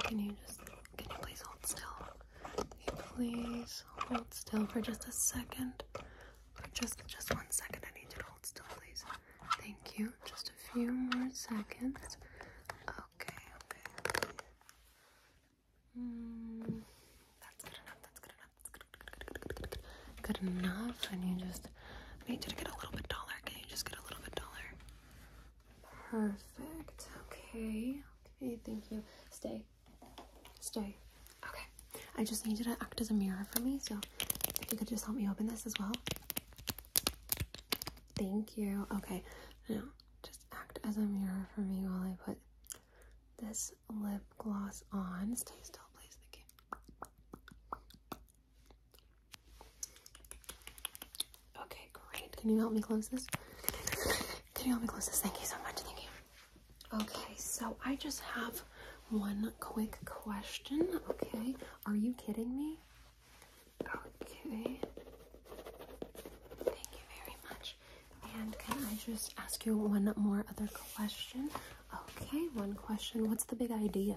Can you just, can you please hold still? Can you please hold still for just a second? For just, just one second, I need you to hold still, please. Thank you. Just a few more seconds. Okay, okay. Hmm, that's good enough, that's good enough, that's good, good, good enough. And you just, I need you to get a little bit taller. Can you just get a little bit taller? Perfect. Okay. Okay, thank you. Stay. Stay. Okay. I just need you to act as a mirror for me, so if you could just help me open this as well. Thank you. Okay. Now, just act as a mirror for me while I put this lip gloss on. Stay still, please. Thank you. Okay, great. Can you help me close this? Can you help me close this? Thank you so much. Thank you. Okay, so I just have one quick question. Okay, are you kidding me? Okay. Thank you very much. And can I just ask you one more other question? Okay, one question. What's the big idea?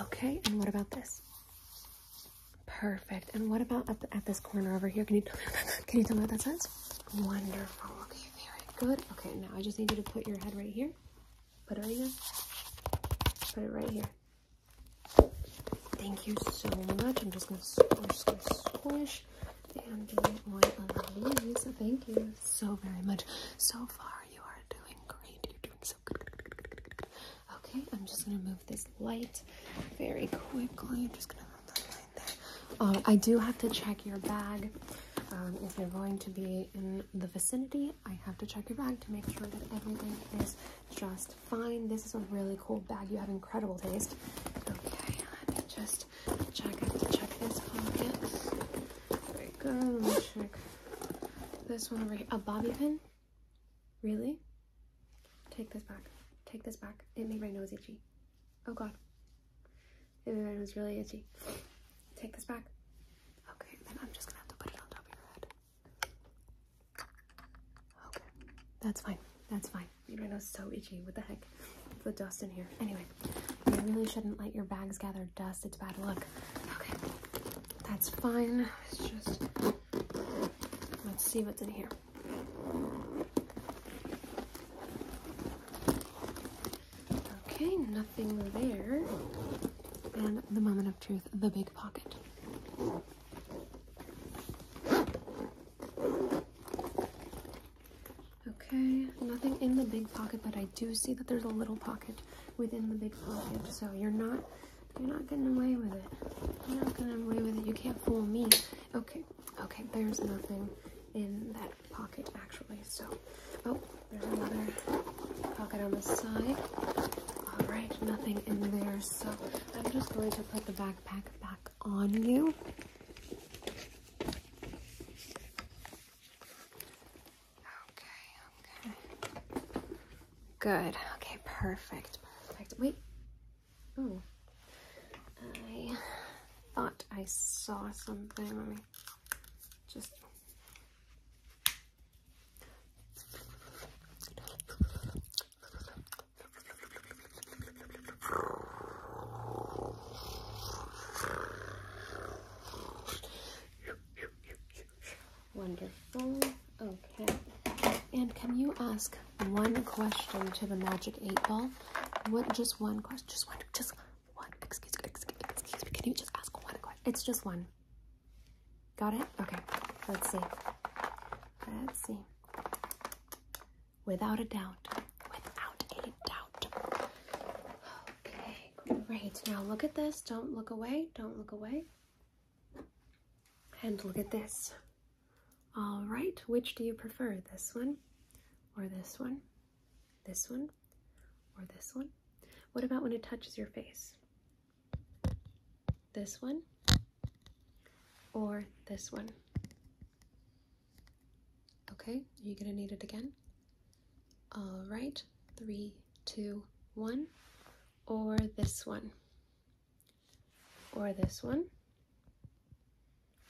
Okay, and what about this? Perfect. And what about at, at this corner over here? Can you can you tell me what that says? Wonderful. Okay, very good. Okay, now I just need you to put your head right here. Put it right here. Put it right here. Thank you so much. I'm just gonna squish, squish, squish, and get one of these. Thank you so very much. So far, you are doing great. You're doing so good. Okay, I'm just gonna move this light very quickly. I'm just gonna move that light there. Um, I do have to check your bag. Um, if you're going to be in the vicinity, I have to check your bag to make sure that everything is just fine. This is a really cool bag. You have incredible taste. Okay, let me just check. I have to check this pocket. There we go. let me check this one over here. A bobby pin? Really? Take this back. Take this back. It made my nose itchy. Oh god. It made my nose really itchy. Take this back. Okay, then I'm just gonna have to put it on top of your head. Okay. That's fine. That's fine. Made my nose so itchy. What the heck? The dust in here. Anyway, you really shouldn't let your bags gather dust its bad luck. Okay, that's fine. Let's just, let's see what's in here. Okay, nothing there. And the moment of truth, the big pocket. Okay, nothing in the big pocket, but I do see that there's a little pocket within the big pocket. So you're not you're not getting away with it. You're not getting away with it. You can't fool me. Okay, okay, there's nothing in that pocket actually. So oh, there's another pocket on the side. Alright, nothing in there. So I'm just going to put the backpack back on you. Okay, okay. Good. Okay, perfect, perfect. Wait. Oh. I thought I saw something. Let me just... Wonderful. Okay. And can you ask one question to the magic eight ball? What? Just one question. Just one. Just one. Excuse, excuse, excuse me. Can you just ask one question? It's just one. Got it? Okay. Let's see. Let's see. Without a doubt. Without a doubt. Okay, great. Now look at this. Don't look away. Don't look away. And look at this. All right, which do you prefer? This one or this one? This one or this one? What about when it touches your face? This one or this one? Okay, are you gonna need it again? All right, three, two, one, or this one, or this one.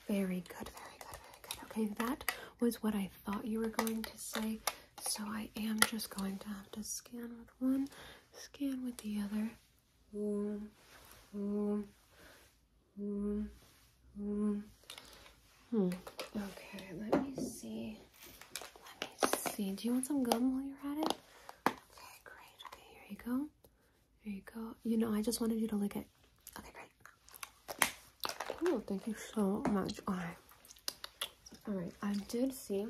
Very good, very good, very good. Okay, that was what I thought you were going to say, so I am just going to have to scan with one, scan with the other. Um, hmm. Okay, let me see. Let me see. Do you want some gum while you're at it? Okay, great. Okay, here you go. Here you go. You know, I just wanted you to lick it. Okay, great. Oh, thank you so much. All right. All right, I did see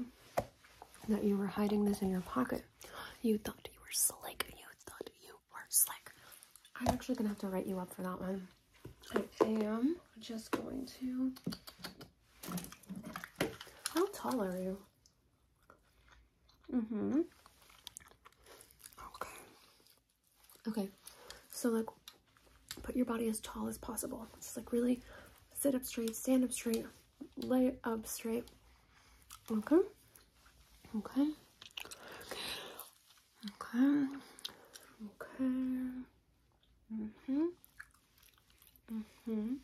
that you were hiding this in your pocket. You thought you were slick. You thought you were slick. I'm actually gonna have to write you up for that one. I am just going to. How tall are you? Mm hmm. Okay. Okay. So, like, put your body as tall as possible. Just like really sit up straight, stand up straight, lay up straight. Okay. Okay. Okay. Okay. Mhm. Mhm.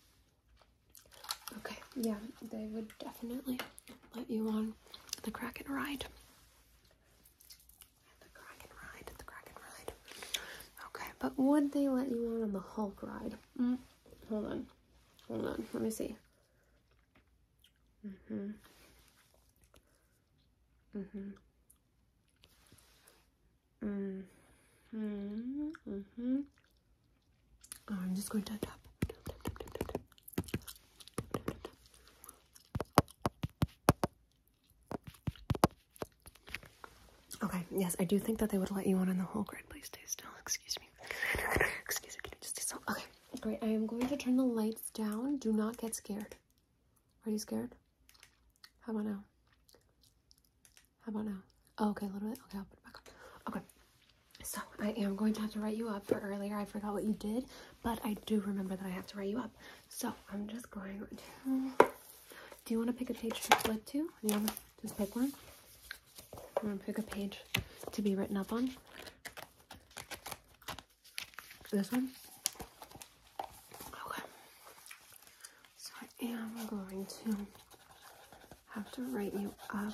Okay. Yeah, they would definitely let you on the Kraken ride. The Kraken ride. The Kraken ride. Okay, but would they let you on on the Hulk ride? Mm, hold on. Hold on. Let me see. Mhm. Mm-hmm. hmm Mm-hmm. mm-hmm. Oh, I'm just going to tap. Okay, yes, I do think that they would let you on in the whole grid. Please stay still. Excuse me. Excuse me. Can you just stay still? Okay, great. I am going to turn the lights down. Do not get scared. Are you scared? How about now? How about now? Oh, okay, a little bit. Okay, I'll put it back up. Okay. So I am going to have to write you up for earlier. I forgot what you did, but I do remember that I have to write you up. So I'm just going to... Do you want to pick a page to flip to? Yeah, just pick one. I'm to pick a page to be written up on. This one? Okay. So I am going to have to write you up.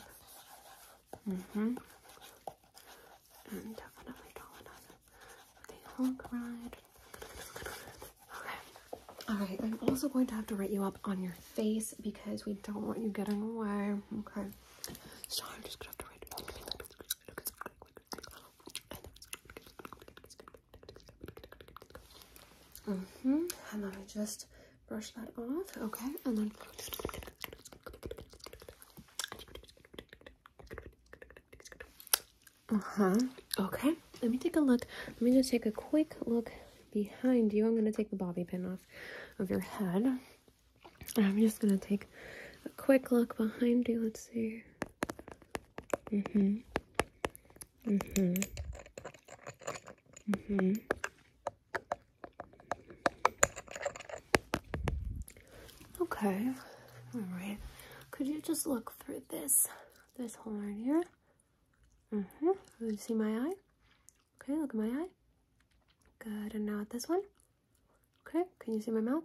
Mm-hmm. And definitely colonize the whole ride. Okay. Alright, I'm also going to have to write you up on your face because we don't want you getting away. Okay. So I'm just gonna have to write Mm hmm. And let me just brush that off. Okay, and then. Uh huh. Okay. Let me take a look. Let me just take a quick look behind you. I'm gonna take the bobby pin off of your head. I'm just gonna take a quick look behind you. Let's see. hmm hmm hmm Okay. Alright. Could you just look through this this hole right here? Mm-hmm. You see my eye? Okay, look at my eye. Good. And now this one. Okay, can you see my mouth?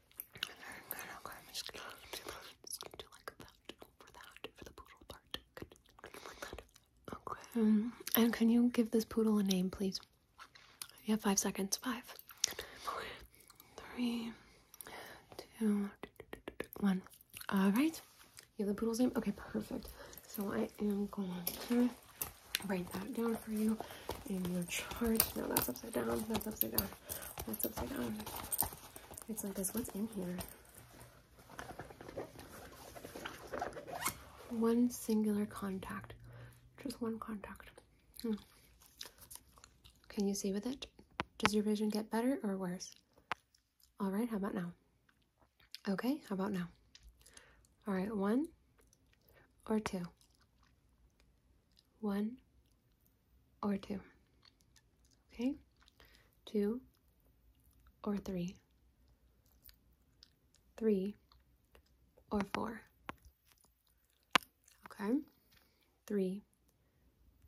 And Okay. and um, can you give this poodle a name, please? You have five seconds. Five, three, two, one. All right. You have the poodle's name? Okay, perfect. So I am going to write that down for you in your chart. No, that's upside down. That's upside down. That's upside down. It's like this. What's in here? One singular contact. Just one contact. Hmm. Can you see with it? Does your vision get better or worse? All right, how about now? Okay, how about now? All right, one or two? One or two. Okay? Two or three. Three or four. Okay? Three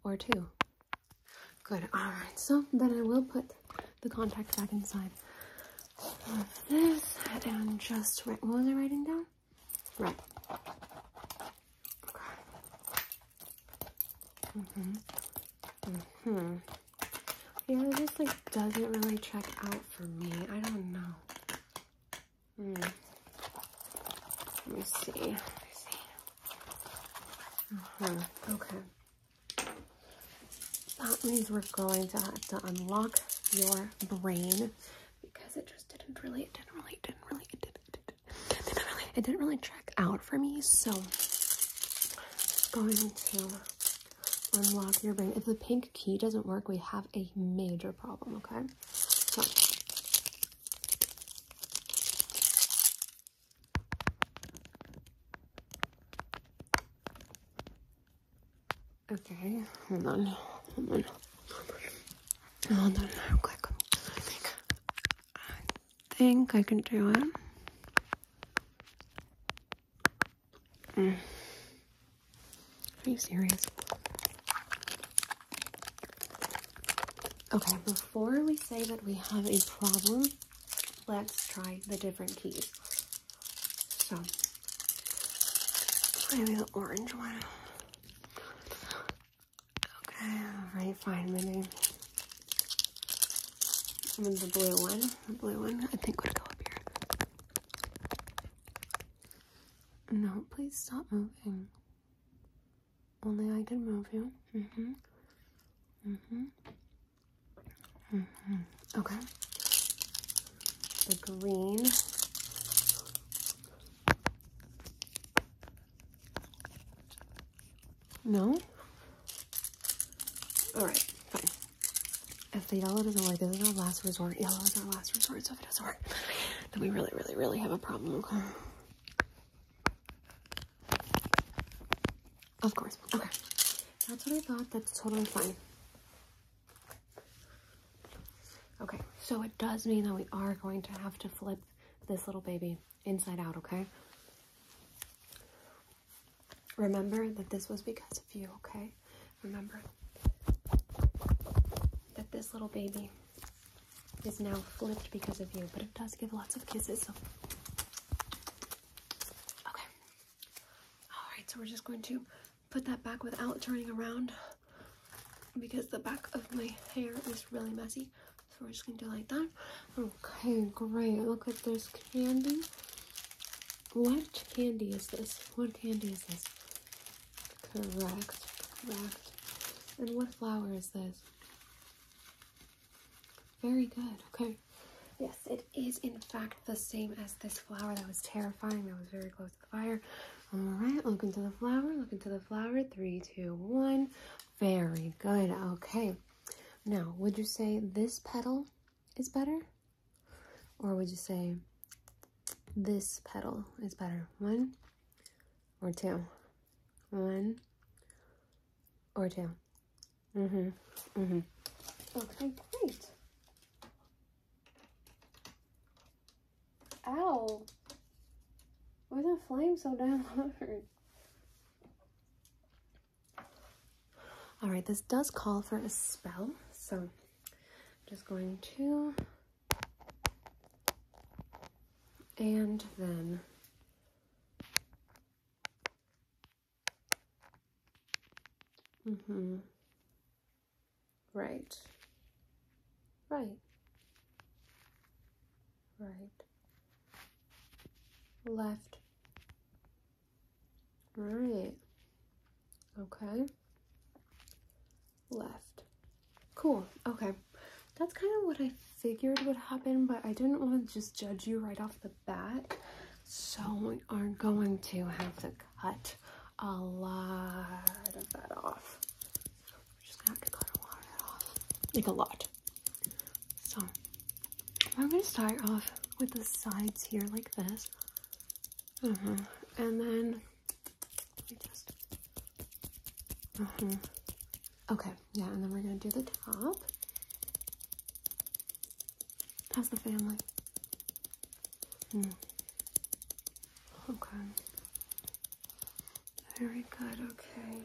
or two. Good. Alright, so then I will put the contact back inside of this and just write. What was I writing down? Right. Okay. Mm-hmm. Mm-hmm. Yeah, this like doesn't really check out for me. I don't know. Mm. Let me see. Let me see. Mm-hmm. Okay. That means we're going to have to unlock your brain because it just didn't really, it didn't really, it didn't really, didn't, it didn't really track out for me, so i going to unlock your brain. If the pink key doesn't work, we have a major problem, okay? Okay, hold on, hold on, hold on. Hold on quick. I think, I can do it. Mm. Are you serious? Okay, before we say that we have a problem, let's try the different keys. So, maybe the orange one. Okay, alright, fine, my name. And the blue one, the blue one, I think would go up here. No, please stop moving. Only I can move you. Mm-hmm. Mm-hmm. Mm-hmm. Okay. The green. No? Alright, fine. If the yellow doesn't work, this is our last resort. Yellow is our last resort, so if it doesn't work, then we really, really, really have a problem, okay? Of course. Okay. That's what I thought. That's totally fine. Okay, so it does mean that we are going to have to flip this little baby inside out, okay? Remember that this was because of you, okay? Remember that this little baby is now flipped because of you, but it does give lots of kisses. So. Okay. All right, so we're just going to put that back without turning around because the back of my hair is really messy. So we're just gonna do like that. Okay, great. Look at this candy. What candy is this? What candy is this? Correct, correct. And what flower is this? Very good, okay. Yes, it is in fact the same as this flower that was terrifying. That was very close fire. All right, look into the flower, look into the flower. Three, two, one. Very good. Okay. Now, would you say this petal is better? Or would you say this petal is better? One or two? One or 2 hmm Mm-hmm. Okay, great. Ow! Why that flame so damn hard? Alright, this does call for a spell, so I'm just going to and then Mm-hmm. Right. Right. Right. Left. Right. Okay. Left. Cool. Okay. That's kind of what I figured would happen, but I didn't want to just judge you right off the bat. So we are going to have to cut a lot of that off. just gonna cut a lot off. Like a lot. So I'm gonna start off with the sides here like this. Uh mm-hmm. -huh. And then just uh mm-hmm. -huh. Okay, yeah, and then we're gonna do the top. How's the family? Mm. Okay. Very good, okay.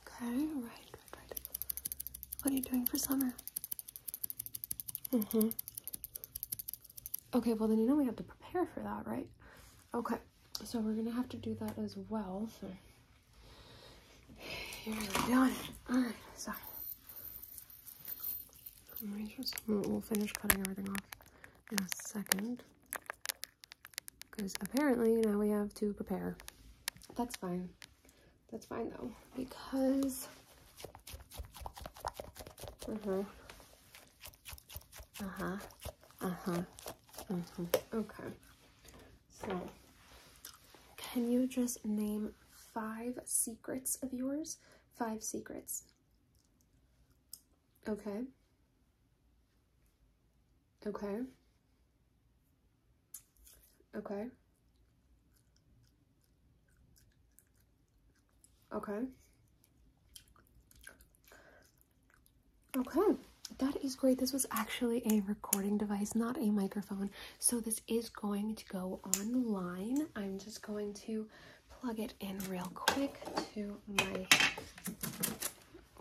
Okay, right, right, right. What are you doing for summer? Mm-hmm. Okay, well then you know we have to prepare for that, right? Okay, so we're gonna have to do that as well. So you're really Alright, so. we'll finish cutting everything off in a second. Because apparently now we have to prepare. That's fine. That's fine though, because. Uh huh. Uh huh. Uh huh. Uh mm-hmm. huh. Okay. So, can you just name five secrets of yours? Five secrets. Okay. Okay. Okay. Okay. Okay. That is great. This was actually a recording device, not a microphone. So this is going to go online. I'm just going to plug it in real quick to my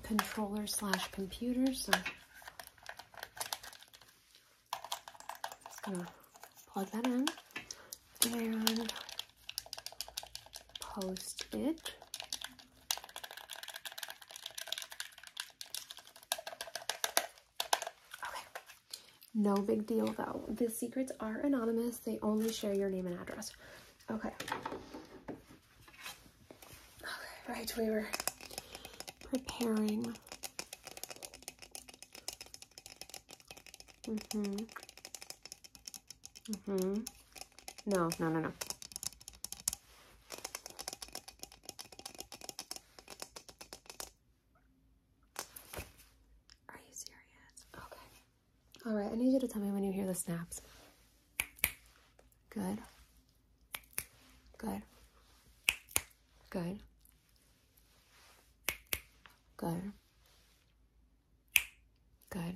controller slash computer. So just gonna plug that in and post it. Okay. No big deal though. The secrets are anonymous. They only share your name and address. Okay. Right. we were preparing. Mm-hmm. Mm-hmm. No, no, no, no. Are you serious? Okay. All right, I need you to tell me when you hear the snaps. Good. Good. Good. Good. Good.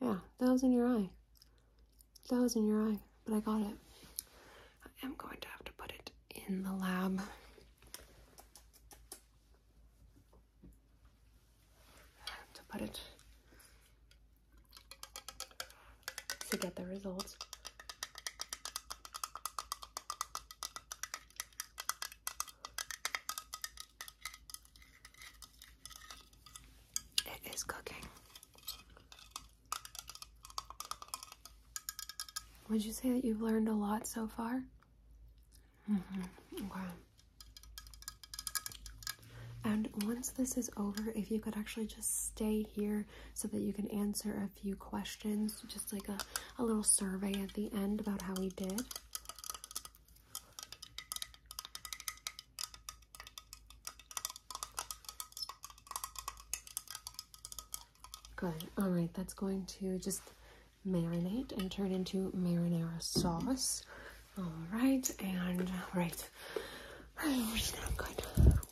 Yeah, that was in your eye. That was in your eye, but I got it. I am going to have to put it in the lab. To put it to get the results. It is cooking. Would you say that you've learned a lot so far? mm And once this is over, if you could actually just stay here so that you can answer a few questions, just like a, a little survey at the end about how we did. Good. All right, that's going to just marinate and turn into marinara sauce. All right, and right. good.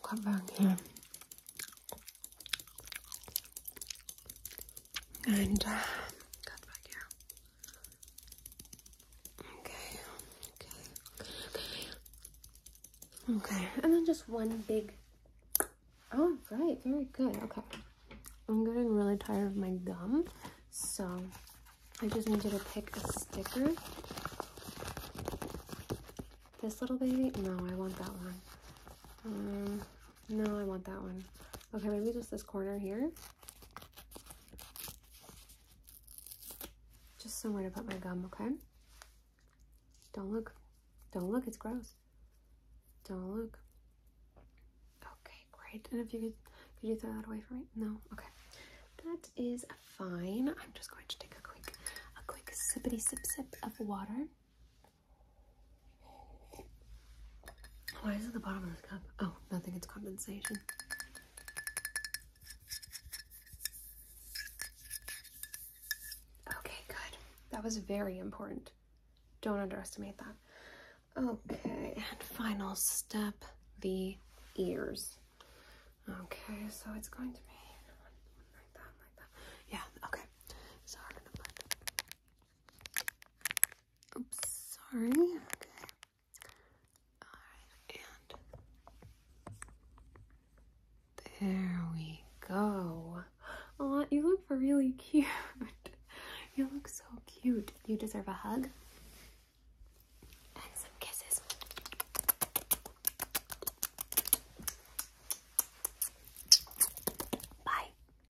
come back here. And uh, back here. Okay, okay, okay, And then just one big. Oh, right, very good. Okay. I'm getting really tired of my gum, so I just need you to pick a sticker. This little baby? No, I want that one. Um, no, I want that one. Okay, maybe just this corner here. Just somewhere to put my gum, okay? Don't look. Don't look, it's gross. Don't look. Okay, great. And if you could, could you throw that away for me? No? Okay. That is fine. I'm just going to take a quick, a quick sippity sip sip of water. Why is it the bottom of this cup? Oh, nothing, it's condensation. Okay, good. That was very important. Don't underestimate that. Okay, and final step, the ears. Okay, so it's going to be Yeah, okay. So we're gonna put Oops, sorry. Okay. Alright, and there we go. Aw, you look really cute. You look so cute. You deserve a hug. And some kisses. Bye.